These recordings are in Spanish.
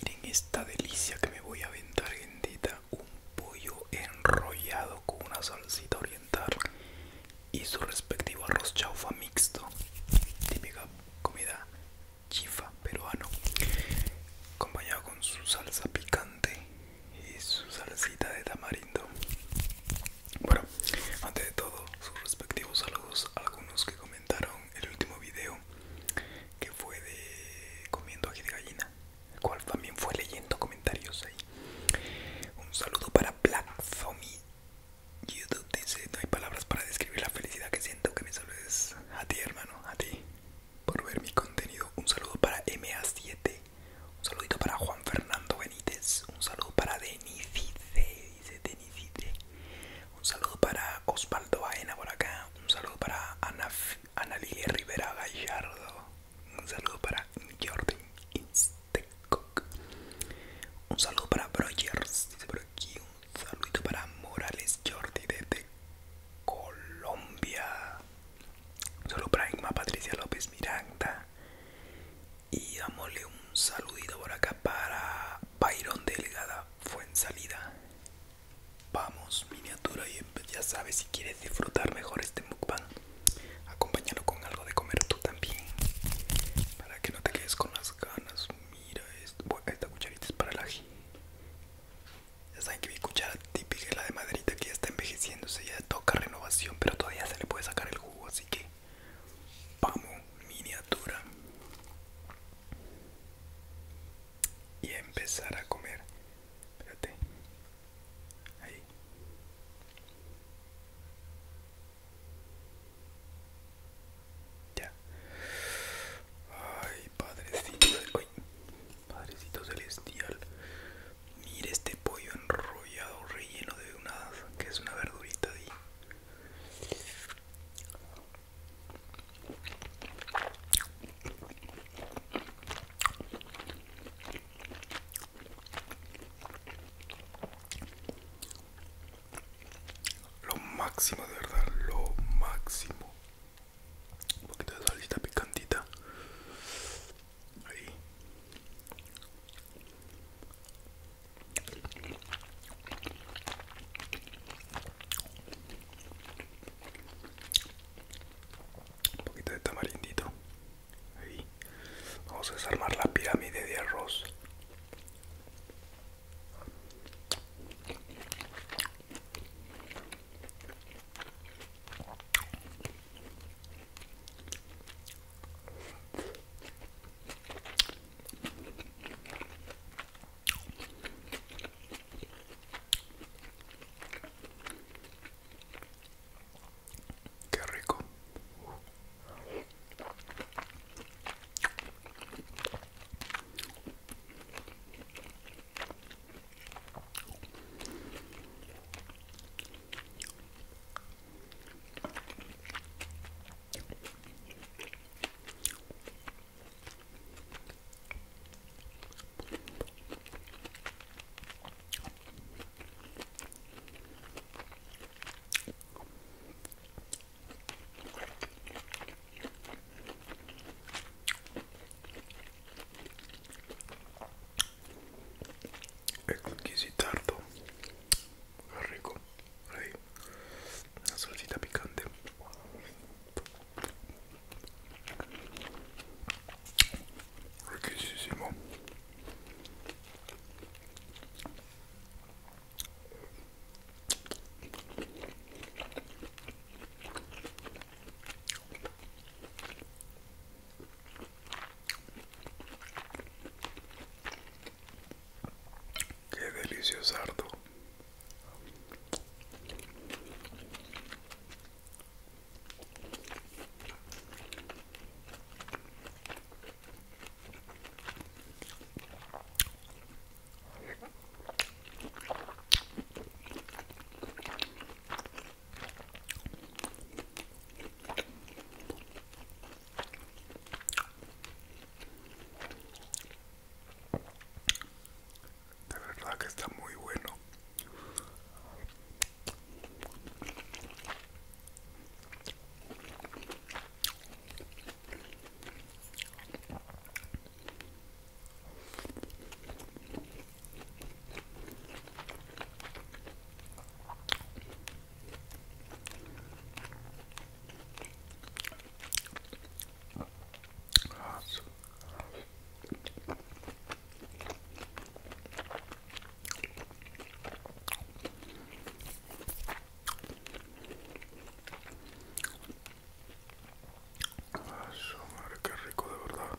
Miren esta delicia que me voy a aventar, gentita. Un pollo enrollado con una salsita oriental y su respectivo arroz chaufa mixto. Típica comida chifa peruano. Acompañado con su salsa picante y su salsita de tamarindo. Bueno, antes de todo, sus respectivos saludos algunos que comentaron el último video que fue de comiendo ají de gallina, el cual también fue leyendo comentarios ahí. Un saludo para Black YouTube dice, no hay palabras para describir la felicidad que siento que me saludes a ti hermano, a ti, por ver mi contenido. Un saludo para MA7, un saludito para Juan Fernando Benítez, un saludo para C un saludo para Osvaldo Baena por acá. Un saludo para Ana, Ana Lilia Rivera Gallardo. Un saludo para Jordan Instecock. Un saludo para Brogers, Un saludo para Morales Jordi desde Colombia. Un saludo para Inma Patricia López Miranda. Y dámosle un saludo por acá para Byron Delgada, fue en salida. Vamos, miniatura, y em, ya sabes si quieres disfrutar mejor este mukbang. Acompáñalo con algo de comer tú también. Para que no te quedes con las ganas. Mira esto. esta cucharita es para el ají. Ya saben que mi cuchara típica es la de maderita que ya está envejeciéndose. Ya toca renovación, pero todavía se le puede sacar el jugo. Así que Vamos, miniatura. Y empezar a comer. Espérate. Ahí. Ya. Ay, padrecito. Ay, padrecito celestial. Mira este pollo enrollado, relleno de una que es una verdurita de lo máximo, de verdad, lo máximo. Un poquito de salita picantita. Ahí. Un poquito de tamarindito. Ahí. Vamos a desarmar la pirámide de arroz. Qué rico. E con chi si tardo es rico ahí una salsita picante riquísimo Qué delicioso ardo. De verdad que está muy bueno. Eso, madre, qué rico de verdad.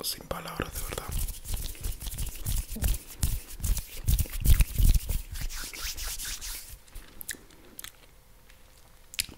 Sin palabras, de verdad.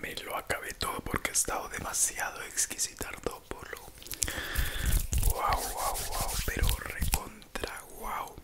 Me lo acabé todo porque he estado demasiado exquisito por lo. Wow, wow, wow, pero recontra wow.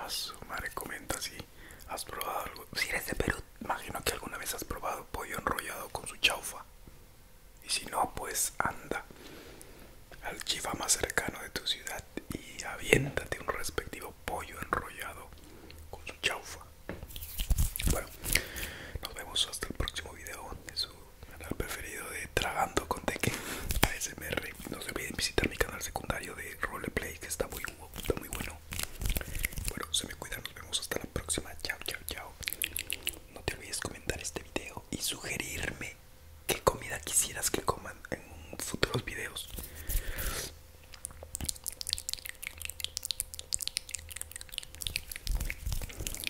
A su madre comenta si has probado algo. Si eres de Perú, imagino que alguna vez has probado pollo enrollado con su chaufa. Y si no, pues anda al chifa más cercano de tu ciudad y aviéntate un respectivo pollo enrollado con su chaufa. Bueno, nos vemos hasta el próximo video de su el preferido de Tragando con Teque ASMR. No se olviden visitar mi canal secundario de Roleplay que está muy, está muy bueno. Bueno, se me cuidan, nos vemos hasta la próxima. Chao, chao, chao. No te olvides comentar este video y sugerirme qué comida quisieras que coman en futuros videos.